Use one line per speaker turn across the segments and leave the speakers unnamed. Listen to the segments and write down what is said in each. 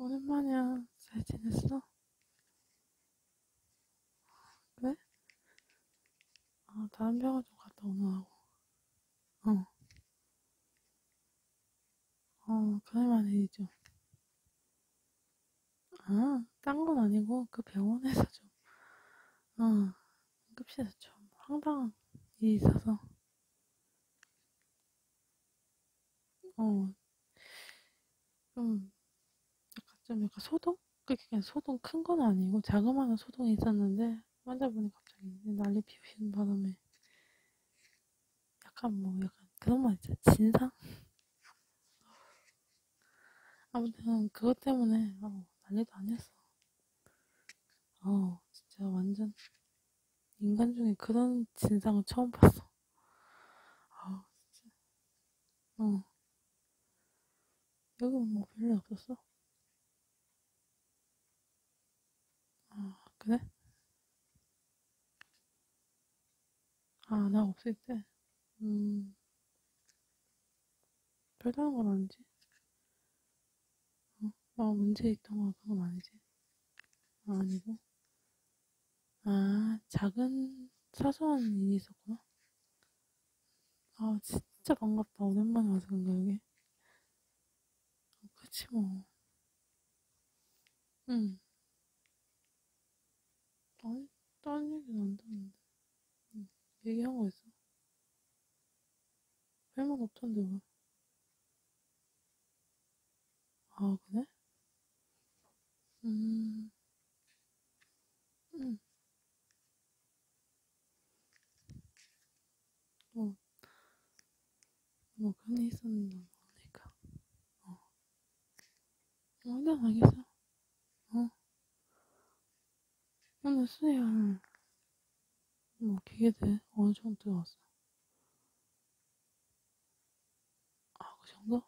오랜만이야. 잘 지냈어? 왜? 아, 다른 병원 좀 갔다 오느라고. 어. 어, 그럴만 해이죠 아, 딴 건 아니고 그 병원에서 좀, 어, 응급실에서 좀 황당한 일이 있어서, 어, 좀, 약간 좀 약간 소동? 그게 그냥 소동 큰 건 아니고 자그마한 소동이 있었는데 환자분이 갑자기 난리 피우시는 바람에 약간 뭐 약간 그런 말 있죠 진상 아무튼 그것 때문에 어, 난리도 아니었어. 어 진짜 완전 인간 중에 그런 진상을 처음 봤어. 아 어, 진짜. 어 여기 뭐 별일 없었어? 아 어, 그래? 아, 나 없을 때? 음. 별다른 건 아니지? 어? 나 문제 있던 거 그건 아니지? 아, 아니고? 아, 작은 사소한 일이 있었구나? 아, 진짜 반갑다. 오랜만에 와서 그런가, 여기? 아, 그치, 뭐. 응. 음. 아니, 어, 딴 얘기는 안 듣는데. 응, 얘기한 거 있어? 별말 없던데 왜? 뭐. 아 그래? 음, 응. 음. 뭐, 뭐 그런 일 있었나 모르니까. 어, 얼마 나겠어? 어? 아, 나는 수혜야. 뭐, 기계들 어느 정도 들어왔어? 아, 그 정도?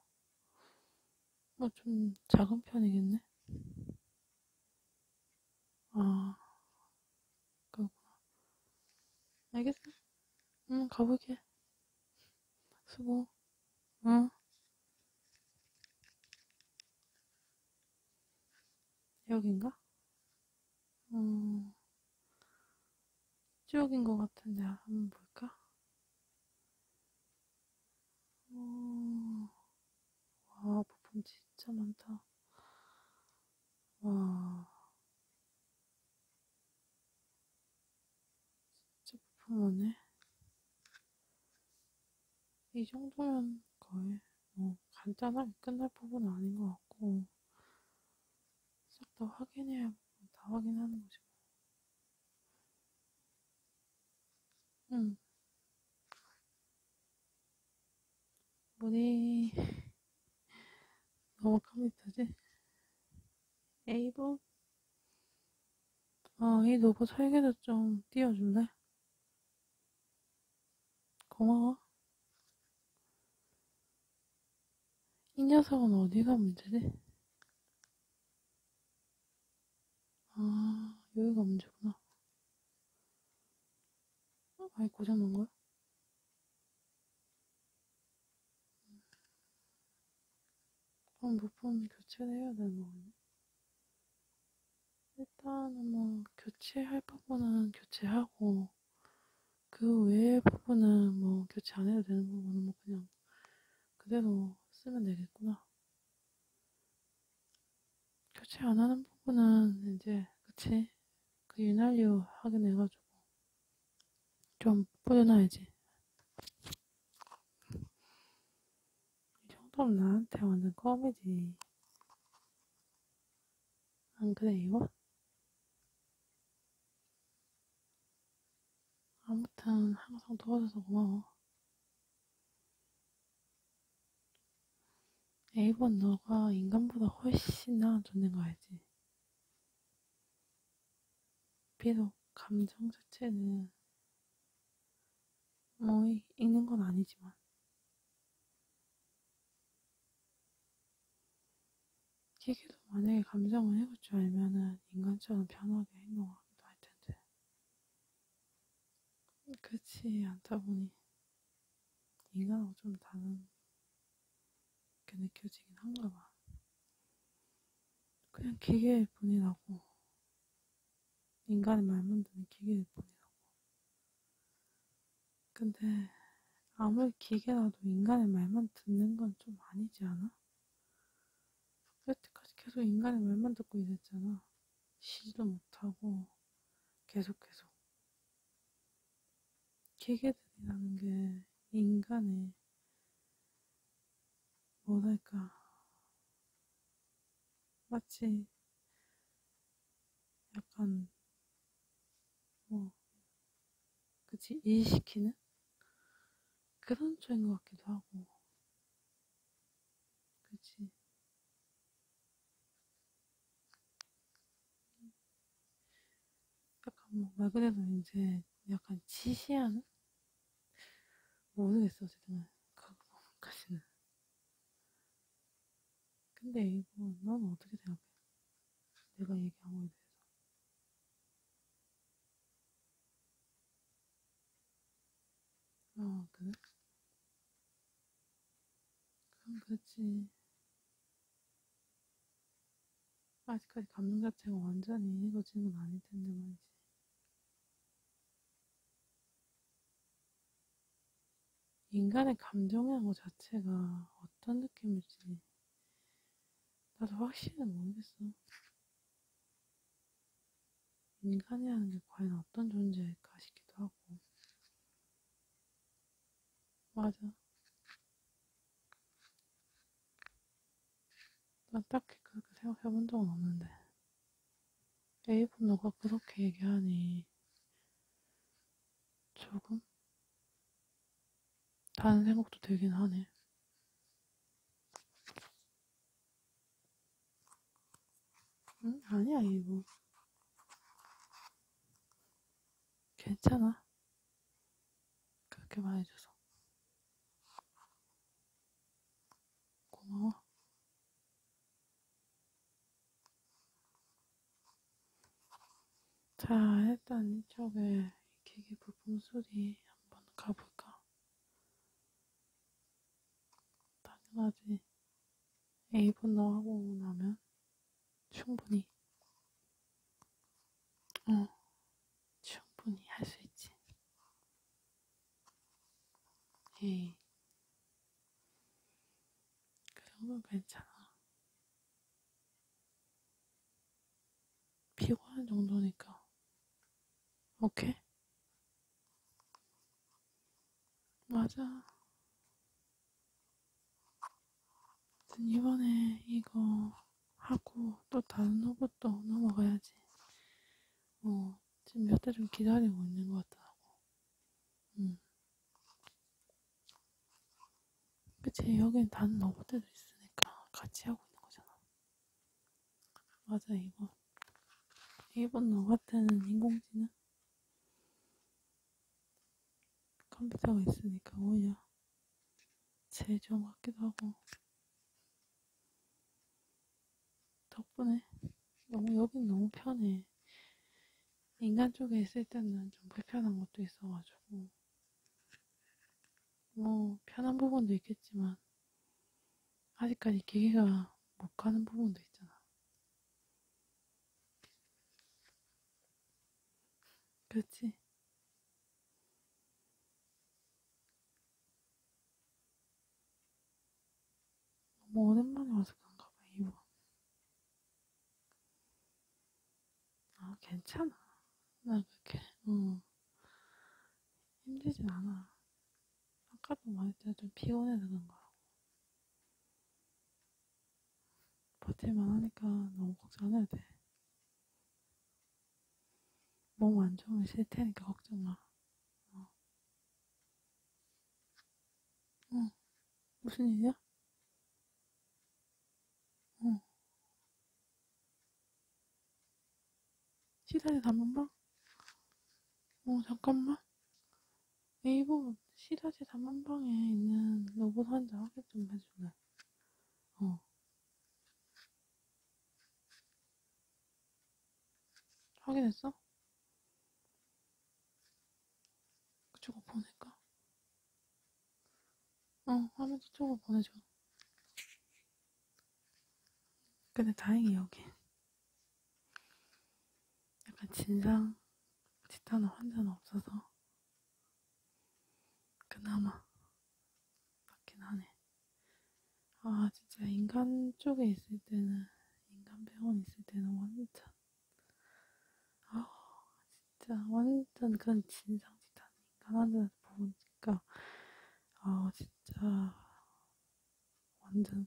뭐, 아, 좀 작은 편이겠네? 아, 그렇구나. 알겠어. 응, 가볼게. 수고. 응. 여긴가? 어, 쪽인 것 같은데 한번 볼까? 어, 와 부품 진짜 많다. 와 제품 안에 이 정도면 거의 뭐 간단하게 끝날 부분 아닌 것 같고 싹다 확인해야 뭐 다 확인하는 거지 뭐. 응. 음. 우리 너무 컴퓨터지? 에이브 아, 이 로봇 설계도 좀 띄워줄래? 고마워. 이 녀석은 어디가 문제지? 아, 여기가 문제구나. 아예 고장 난 거야? 그럼 부품 교체를 해야 되는 거겠네? 일단은 뭐 교체할 부분은 교체하고 그 외의 부분은 뭐 교체 안 해도 되는 부분은 뭐 그냥 그대로 쓰면 되겠구나. 교체 안 하는 부분은 이제 그치 그 윤활유 하긴 해가지고 좀 뿌려놔야지. 이 정도면 나한테 완전 껌이지. 안 그래, 이거? 아무튼, 항상 도와줘서 고마워. 에이번 너가 인간보다 훨씬 나은 존재인 거 알지? 비록 감정 자체는 뭐 읽는 건 아니지만 기계도 만약에 감정을 해볼 줄 알면은 인간처럼 편하게 행동하기도 할 텐데 그렇지 않다 보니 인간하고 좀 다른 게 느껴지긴 한가 봐. 그냥 기계일 뿐이라고 인간의 말문드는 기계일 뿐이라고. 근데 아무리 기계라도 인간의 말만 듣는 건 좀 아니지 않아? 그때까지 계속 인간의 말만 듣고 있었잖아. 쉬지도 못하고 계속 계속. 기계들이라는 게 인간의 뭐랄까 마치 약간 뭐 그치 이시키는 그런 쪽인 것 같기도 하고 그치 약간 뭐말 그대로 이제 약간 지시하는 모르겠어 어쨌든 그거까지는 근데 이거 넌 어떻게 생각해? 내가 얘기한 거에 대해서. 아, 그래? 그럼 그렇지. 아직까지 감정 자체가 완전히 해거지는 아닐 텐데 말이지. 인간의 감정이라는 것 자체가 어떤 느낌일지 나도 확실히 모르겠어. 인간이라는 게 과연 어떤 존재일까 싶기도 하고. 맞아. 난 딱히 그렇게 생각해 본 적은 없는데. 일본어가 그렇게 얘기하니 조금 다른 생각도 들긴 하네. 응? 아니야, 이거. 괜찮아. 그렇게 말해줘서. 고마워. 자, 일단 이쪽에 기계 부품 수리 한번 가볼까? 당연하지. A분노 하고 나면 충분히, 어, 충분히 할 수 있지. 에이, 그 정도는 괜찮아. 피곤한 정도니까. 오케이? 맞아. 이번에 이거 하고 또 다른 로봇도 넘어가야지. 뭐, 지금 몇달좀 기다리고 있는 것 같더라고. 음. 그치, 여긴 다른 로봇들도 있으니까 같이 하고 있는 거잖아. 맞아, 이번. 이번 로봇들은 인공지능? 컴퓨터가 있으니까 오히려 제일 좋은 것 같기도 하고. 덕분에 너무 여긴 너무 편해. 인간 쪽에 있을 때는 좀 불편한 것도 있어가지고 뭐 편한 부분도 있겠지만 아직까지 기계가 못 가는 부분도 있잖아. 그렇지? 너무 오랜만에 와서 그런가 봐, 이번. 아, 괜찮아. 나 그렇게, 응. 어. 힘들진 않아. 아까도 말했잖아, 좀 피곤해서 그런 거라고. 버틸만 하니까 너무 걱정 안 해도 돼. 몸 안 좋으면 싫 테니까 걱정 마. 어. 어, 무슨 일이야? 어. 시사대 단문방? 어, 잠깐만. 네이버 시사대 단문방에 있는 로봇 환자 확인 좀 해줄래? 어. 확인했어? 그 저거 보낼까? 어, 화면도 저거 보내줘. 근데 다행히 여기 약간 진상 치타는 환자는 없어서 그나마 맞긴 하네. 아, 진짜 인간 쪽에 있을 때는 인간병원 있을 때는 완전 아 진짜 완전 그런 진상짓 하는 인간한테 보니까 아 진짜 완전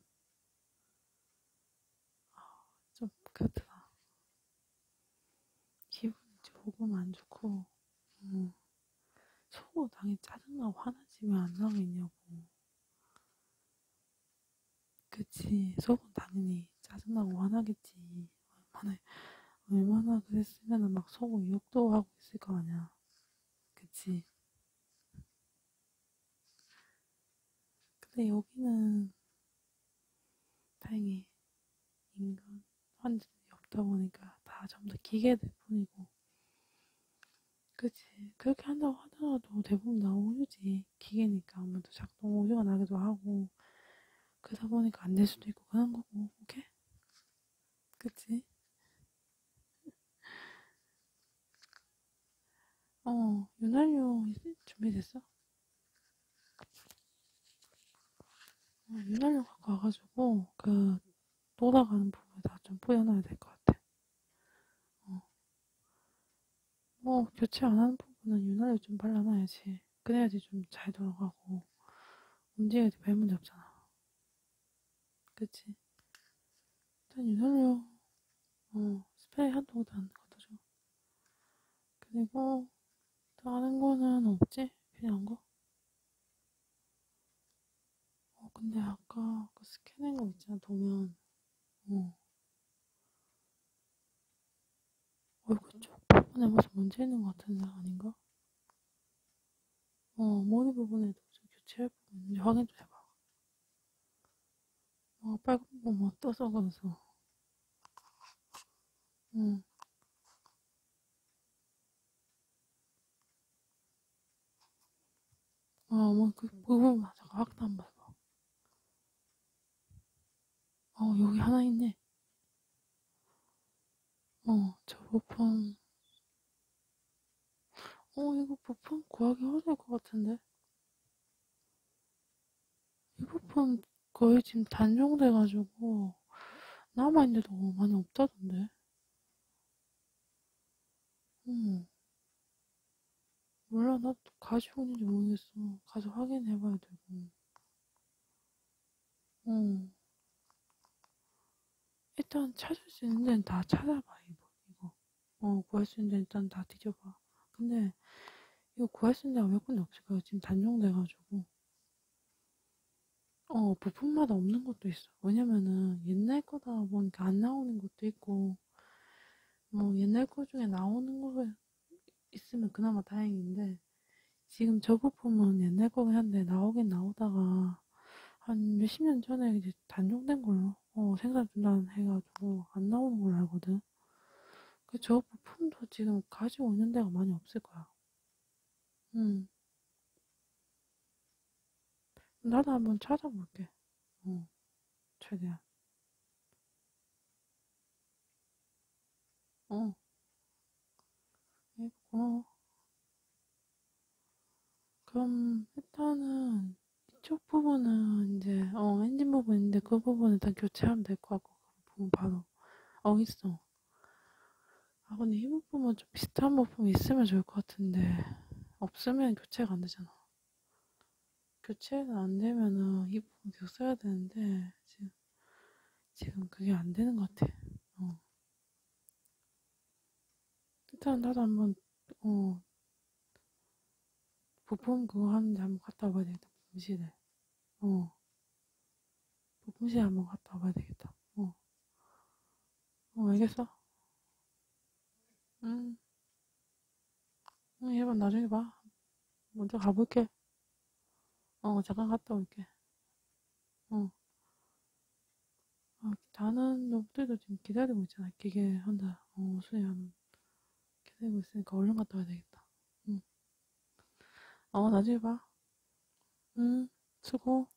아좀 그렇더라 기분이 조금 안 좋고 음. 속으로 당연히 짜증나고 화나지 왜안 나오겠냐고 그치 속은 당연히 짜증나고 화나겠지 얼마나 얼마나 그랬으면은 막 속은 욕도 하고 있을 거 아니야 그치 근데 여기는 다행히 인간 환자들이 없다 보니까 다 전부 다 기계들 뿐이고 그치. 그렇게 한다고 하더라도 대부분 다 오류지. 기계니까 아무래도 작동 오류가 나기도 하고. 그러다 보니까 안 될 수도 있고 그런 거고. 오케이? 그치? 어, 윤활유 준비됐어? 어, 윤활유 갖고 와가지고, 그, 돌아가는 부분에다 좀 뿌려놔야 될 것 같아. 어. 뭐 교체 안 하는 부분은 윤활유 좀 발라놔야지. 그래야지 좀 잘 돌아가고 움직여야지 별 문제 없잖아. 그치? 일단 윤활유 어 스프레이 한통 다는 것도 좀 그리고 다른 거는 없지? 필요한 거? 어 근데 아까 그 스캐닝 거 있잖아 도면 어. 얼굴 쪽 부분에 무슨 문제 있는 것 같은 사람 아닌가? 어, 머리 부분에도 좀 교체할 부분 있는지 확인 좀 해봐. 어, 빨간 거뭐 떠서 그래서. 응. 어, 뭐, 그 부분, 잠깐 확대 한번 해봐. 어, 여기 하나 있네. 어, 저 보펌. 어, 이거 보펌 구하기 힘들 것 같은데. 이 보펌 거의 지금 단종돼가지고, 남아있는데 너무 많이 없다던데. 음. 몰라, 나 가지고 있는지 모르겠어. 가서 확인해봐야 되고. 응. 일단 찾을 수 있는 데는 다 찾아봐, 이거. 이거. 어, 구할 수 있는 데는 일단 다 뒤져봐. 근데, 이거 구할 수 있는 데가 몇 군데 없을 거야. 지금 단종돼가지고. 어, 부품마다 없는 것도 있어. 왜냐면은 옛날 거다 보니까 안 나오는 것도 있고, 뭐 옛날 거 중에 나오는 거 있으면 그나마 다행인데 지금 저부품은 옛날 거긴 한데 나오긴 나오다가 한 몇십 년 전에 이제 단종된 걸로 어, 생산 중단 해가지고 안 나오는 걸로 알거든. 그 저 부품도 지금 가지고 있는 데가 많이 없을 거야. 음. 나도 한번 찾아볼게. 어, 최대한. 어. 예, 고마워. 그럼 일단은 이쪽 부분은 이제 어 엔진 부분인데 그 부분은 일단 교체하면 될 것 같고 그 부분 바로 어 있어. 아 근데 이 부품은 좀 비슷한 부품이 있으면 좋을 것 같은데 없으면 교체가 안 되잖아. 교체가 그 안 되면은 이부분 계속 써야 되는데 지금 지금 그게 안 되는 것 같아. 어. 일단 나도 한번 어 부품 그거 하는데 한번 갔다 와봐야 되겠다. 부품실에. 어. 부품실에 한번 갔다 와봐야 되겠다. 어. 어 알겠어. 응. 응, 1번 나중에 봐. 먼저 가볼게. 어, 잠깐 갔다 올게. 어. 아, 다른 놈들도 지금 기다리고 있잖아. 기계 한다. 어, 수연. 기다리고 있으니까 얼른 갔다 와야 되겠다. 응. 어, 나중에 봐. 응, 수고.